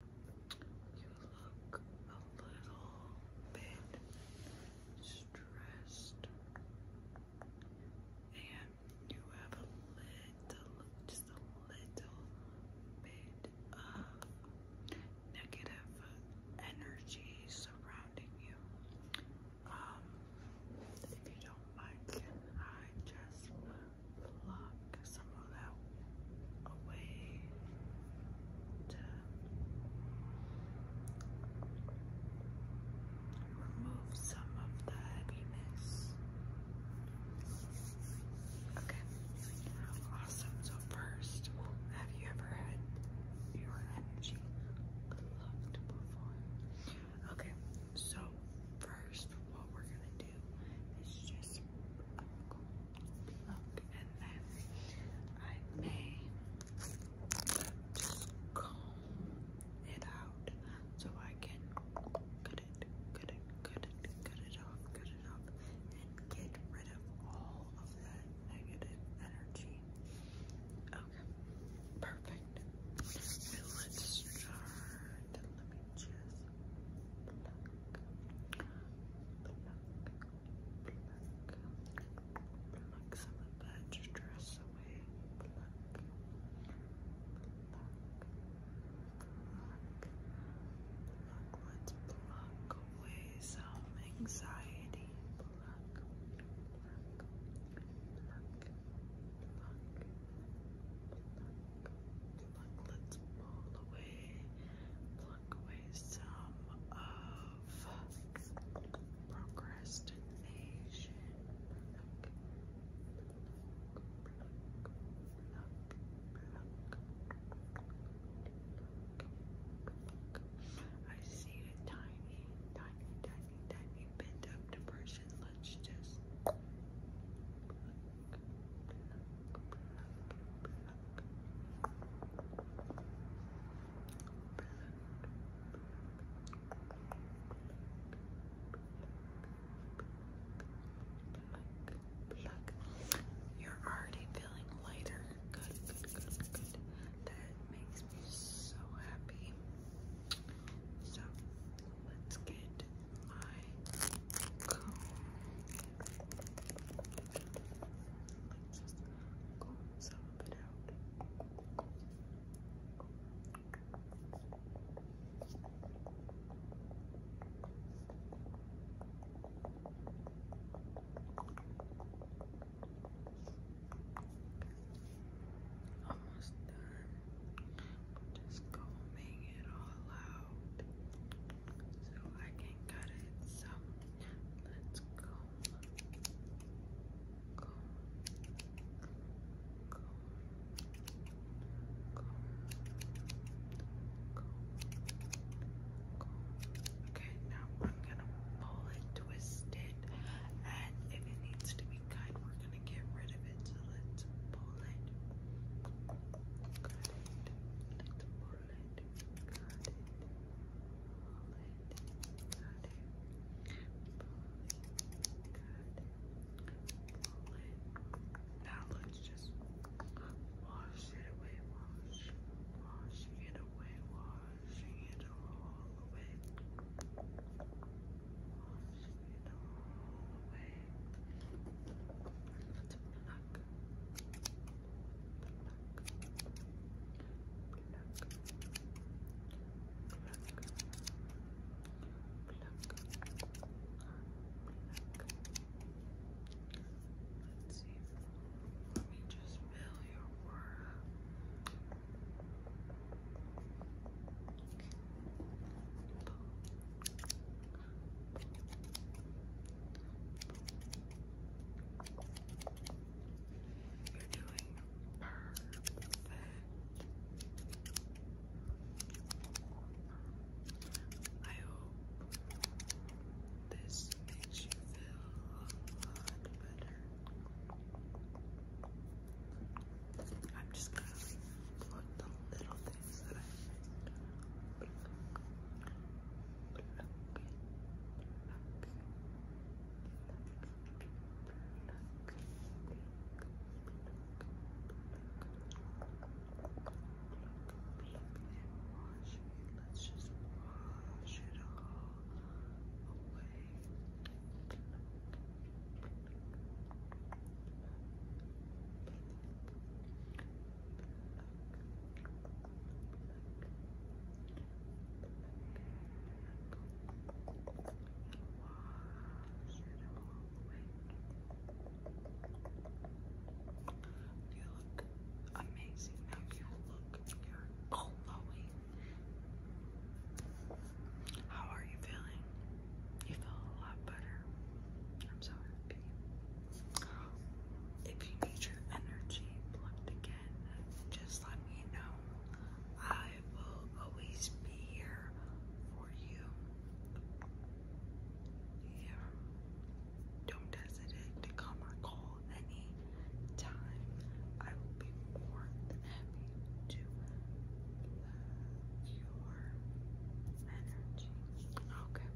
You look a little bit stressed, and you have a little, just a little bit of negative energy surrounding you. Um, if you don't mind, I just? pluck some of that away to remove some of the heaviness. Okay, awesome. So first, have you ever had your energy loved before? Okay, so first, what we're gonna do is just look, and then I may just comb it out so I can cut it, cut it, cut it, cut it off, cut it off, and get rid of all of that negative energy. Okay, perfect. let's start. Let me just pluck, pluck, pluck, pluck some of that stress away, pluck, pluck, pluck, pluck, let's pluck away some anxiety, pluck, pluck, pluck, pluck, Pluck, pluck, let's pull away, pluck, pluck away some of procrastination. Pluck, pluck, pluck, pluck, pluck. I see a tiny, tiny, tiny, tiny bit of depression. Let's just Pluck. You're already feeling lighter. That makes me so happy. So let's get my just comb some it out. Almost done. Just combing it all out so I can cut it. So let's comb, comb, comb, comb, comb, comb. Okay, now I'm gonna pull it, twist it, and if it needs to be cut, we're gonna get rid of it. So let's pull it it. Got Now let's just wash it away. Wash. Washing it away. Washing it all away. Washing it all away. Let's pluck. Let's me just fill your aura. You're doing perfect. I hope this makes you feel a lot better. I'm just gonna put the little things that I Wash it. Let's just wash it all away. You look amazing now. You look, glowing. How are you feeling? You feel a lot better. I'm sorry happy. If you need your energy plugged again, just let me know. I will always be here for you. Yeah. Don't hesitate to come or call any time. I will be more than happy to love your energy. Okay.